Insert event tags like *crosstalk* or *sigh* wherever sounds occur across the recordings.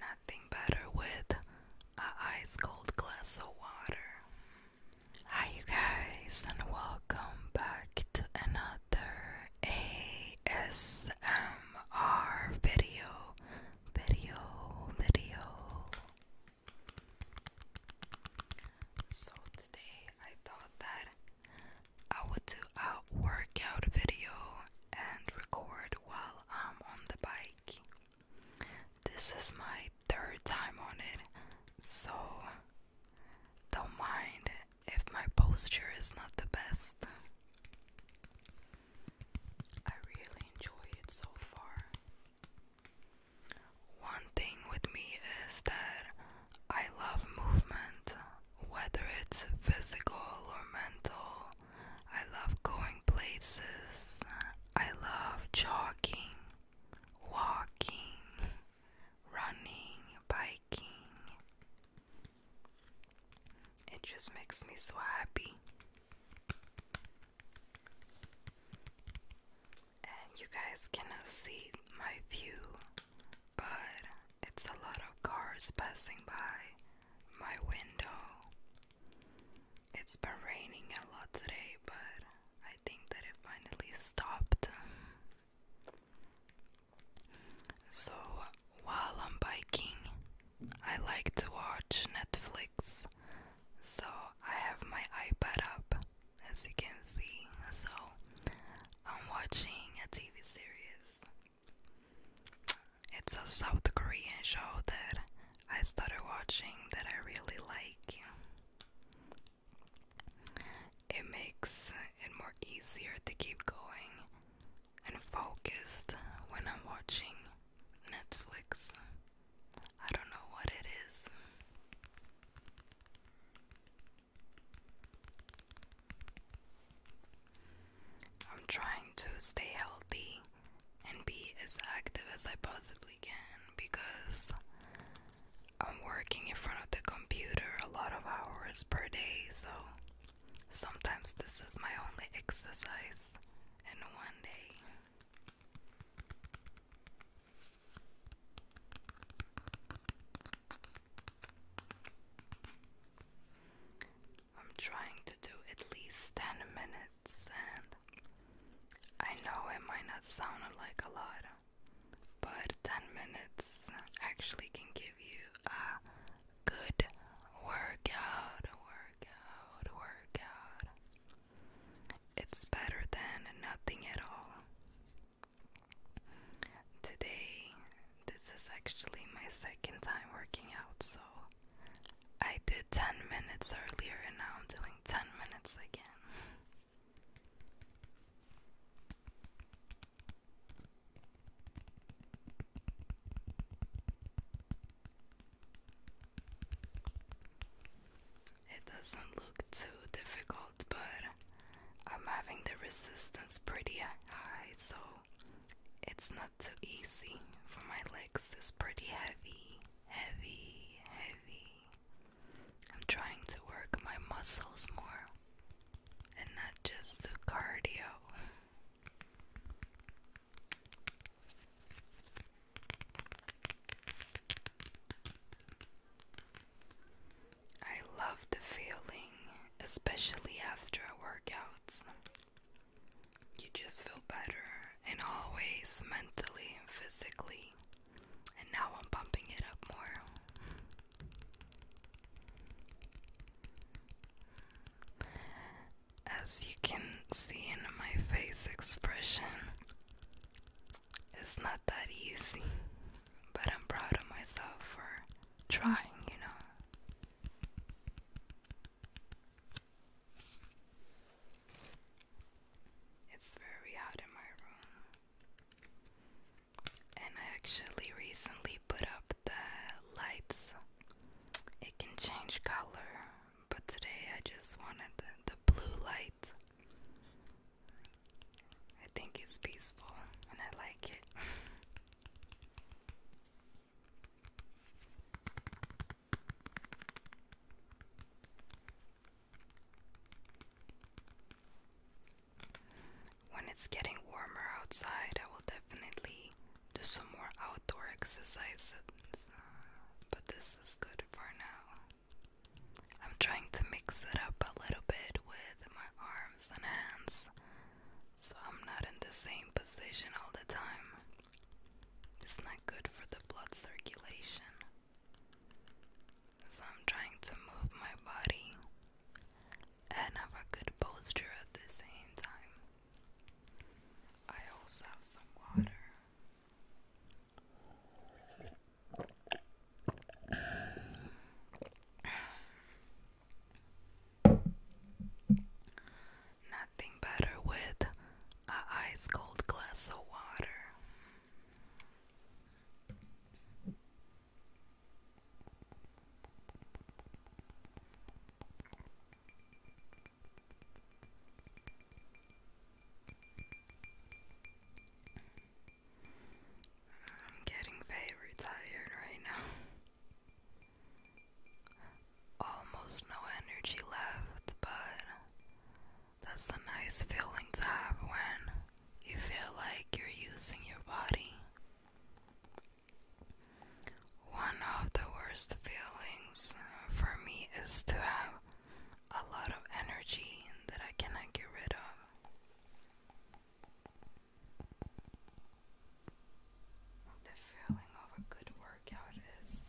Nothing better with a ice cold glass of water. Hi you guys and welcome back to another ASMR video video video so today I thought that I would do a workout video and record while I'm on the bike. This is my third time on it, so don't mind if my posture is not the best. I really enjoy it so far. One thing with me is that I love movement, whether it's physical or mental. I love going places. I love jogging, walking, *laughs* running, biking. It just makes me so happy. And you guys cannot see my view, but it's a lot of cars passing by my window. It's been raining a lot today, but I think that it finally stopped. So while I'm biking, I like to watch Netflix. So I have my iPad up, as you can see. So I'm watching a TV series. It's a South Korean show that I started watching that I really like. It makes it more easier to keep going and focused when I'm watching Netflix. I don't know what it is. I'm trying to stay healthy and be as active as I possibly can because I'm working in front of the computer a lot of hours per day, so sometimes this is my only exercise in one day. I'm trying to do at least 10 minutes, and I know it might not sound like a lot but 10 minutes actually can give you a good workout, workout, workout. It's better than nothing at all. Today, this is actually my second time working out, so I did 10 minutes earlier and now I'm doing 10 minutes again. It doesn't look too difficult, but I'm having the resistance pretty high, so it's not too easy for my legs. It's pretty heavy, heavy, heavy. I'm trying to work my muscles more and not just the cardio. I love the feeling, especially after a workout. You just feel better in all ways, mentally and physically and now I'm pumping it up more. As you can see in my face expression, it's not that easy, but I'm proud of myself for trying, you know. It's very hot in my room. And I actually recently put up the lights. It can change color, but today I just wanted the, blue light. I think it's peaceful and I like it. *laughs* When it's getting warmer outside, I will definitely do some more outdoor exercises, but this is good for now. I'm trying to mix it up a little bit with my arms and hands so I'm not in the same position all the time. It's not good for the blood circulation. So I'm trying to move my body and have a good posture at the same time. I also have some water. Nothing better with a ice cold glass of water. I'm getting very tired right now. Almost no energy left, but that's a nice feeling to have when you feel like you're using your body. One of the worst feelings for me is to have a lot of energy that I cannot get rid of. The feeling of a good workout is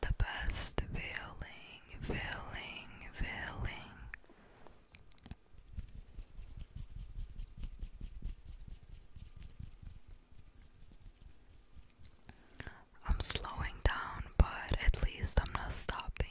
the best feeling, feeling, feeling. I'm slowing down, but at least I'm not stopping.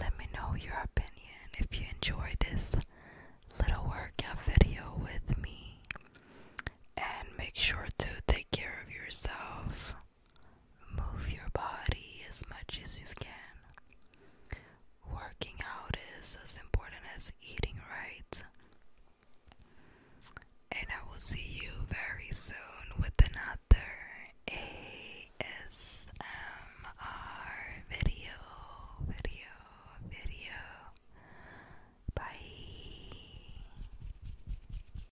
Let me know your opinion if you enjoyed this little workout video with me. And make sure to take care of yourself. Move your body as much as you can. Working out is as important as eating right. And I will see you very soon with another ASMR video. Video, video. Bye.